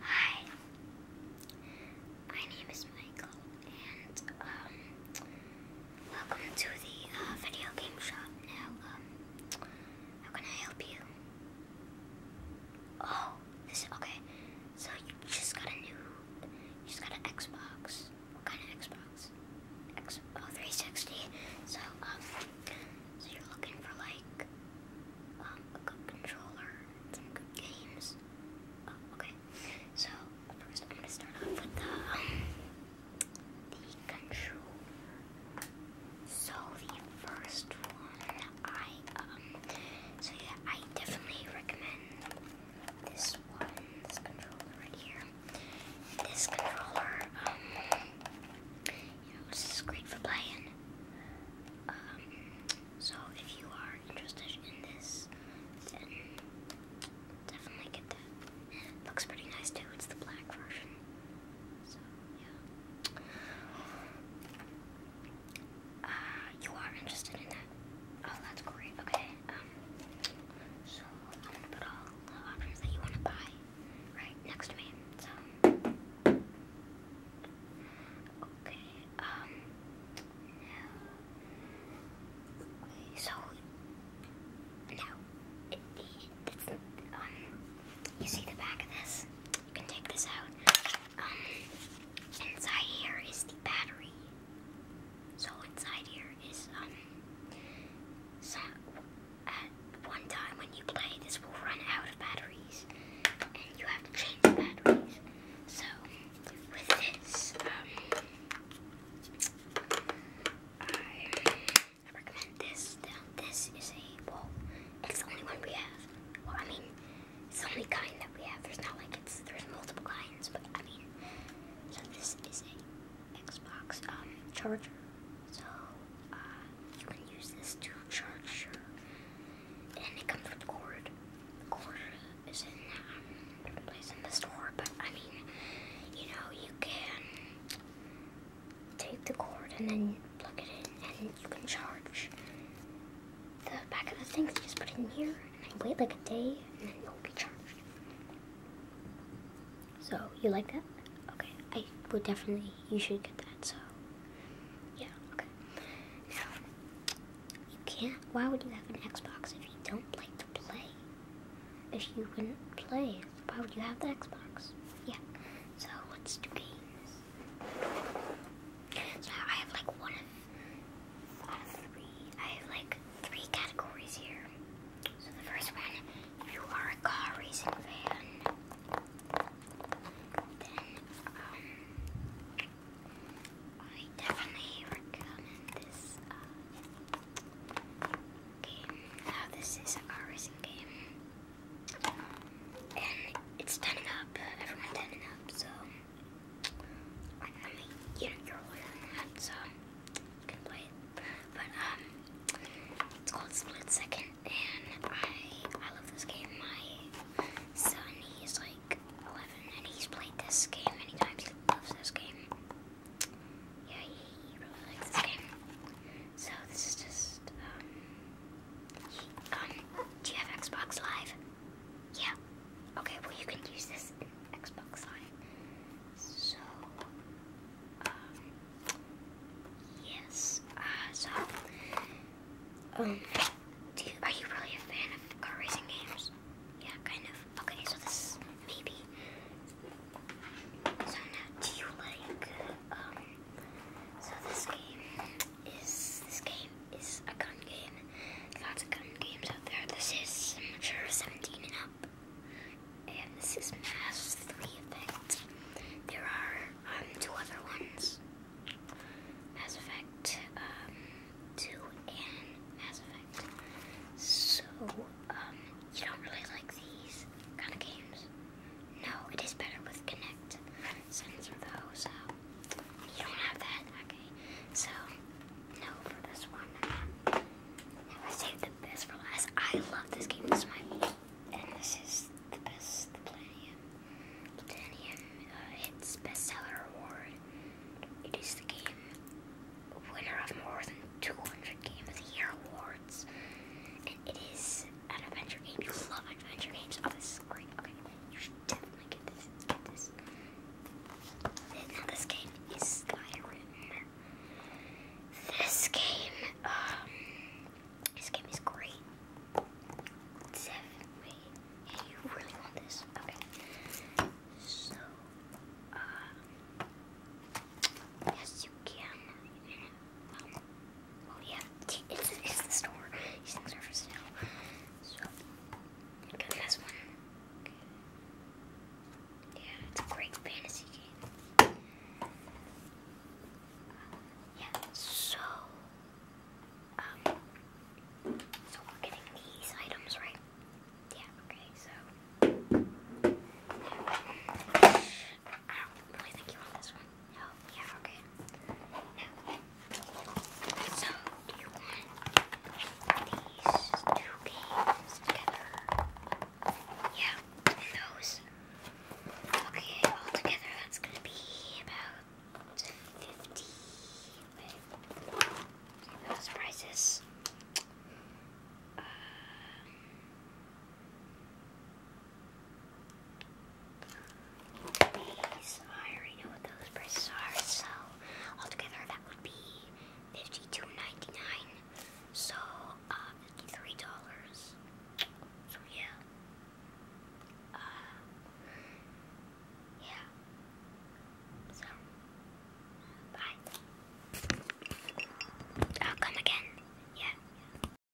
Hi, my name is Michael, and um, welcome to the uh, video game shop. Now, um, how can I help you? Oh, this okay. So you just got a new, you just got an Xbox. What kind of Xbox? Xbox 360. So um, so you're looking for like um, controller some good games. Oh, okay. So first, I'm gonna start off with the um, the controller. So the first one, I um, so I definitely recommend this one, this controller right here. This controller, um, you know, this is great for playing. Um, so if you are interested in this, definitely get that. It looks pretty nice too, it's the black version. So, yeah. Uh, you are interested in that? Oh, that's great, okay. Um, so I'm gonna put all the options that you wanna buy right next to me. So okay, um so now um you see the back of this? You can take this out. Um inside here is the battery. So inside here is um some at one time when you play, this will run out of batteries, and you have to change the batteries. So, with this, um, I recommend this. Now, this is a, it's the only one we have. Well, I mean, it's the only kind that we have. There's not like it's, there's multiple kinds, but I mean, so this is a Xbox um, charger. So uh, you can use this to charge your, and it comes with cord. The cord is in um, place in the store, but I mean, you know, you can take the cord and then plug it in, and you can charge the back of the thing. You just put in here, and wait like a day, and then it'll be charged. So, you like that? Okay, I would definitely, you should get that, so, yeah, okay. Now, you can't, why would you have an Xbox if you don't like to play? If you would not play, why would you have the Xbox? Yeah, so let's do games. So I have like one of, out of three, I have like three categories here. So the first one, if you are a car racing fan, then um, I definitely recommend this uh, game. Now this is a car racing game, and it's turning up. Everyone turning up, so I you are older than that, good point. But um, it's called Split Second, and I I love this game. My son, he's like 11, and he's played this game many times. He loves this game. Yeah, he really likes this game. So this is just um, um, do you have Xbox Live? Yeah. Okay, well you can use this Xbox sign. So, um, yes. Uh, so, um, do are you really a fan of car racing games? Yeah, kind of. Okay, so this maybe. So now, do you like, um, so this game is, this game is a gun game, lots of gun games out there. This is mature 17 and up, and this is Mass Effect. There are um, two other ones Mass Effect um, 2 and Mass Effect. So, um, you don't really like these kind of games? No, it is better with Kinect, since those you don't have that? Okay. So, no for this one. I saved the best for last. I love this game. This is and this is the best the Platinum Platinum uh, bestseller award. It is the game winner of more than 200 Game of the Year awards. And it is an adventure game. You love adventure games. Oh, this is great. Okay, this. Now this game is Skyrim. This game, this game is great. Definitely. Yeah, you really want this. Okay. So, uh, yes, you can. Well, yeah, it's, the store. These things are so, go to this one. Yeah, it's a great fantasy game. Yeah, so, um, so we're getting these items, right? Yeah, okay, so, I don't really think you want this one. No, yeah, okay. so, do you want these two games together? Yeah, those. Okay, all together, that's gonna be about 50. Wait, those these I already know what those prices are, so altogether that would be 52 So, uh, $53. So, yeah. Uh, yeah. So, bye. I'll come again. Yeah.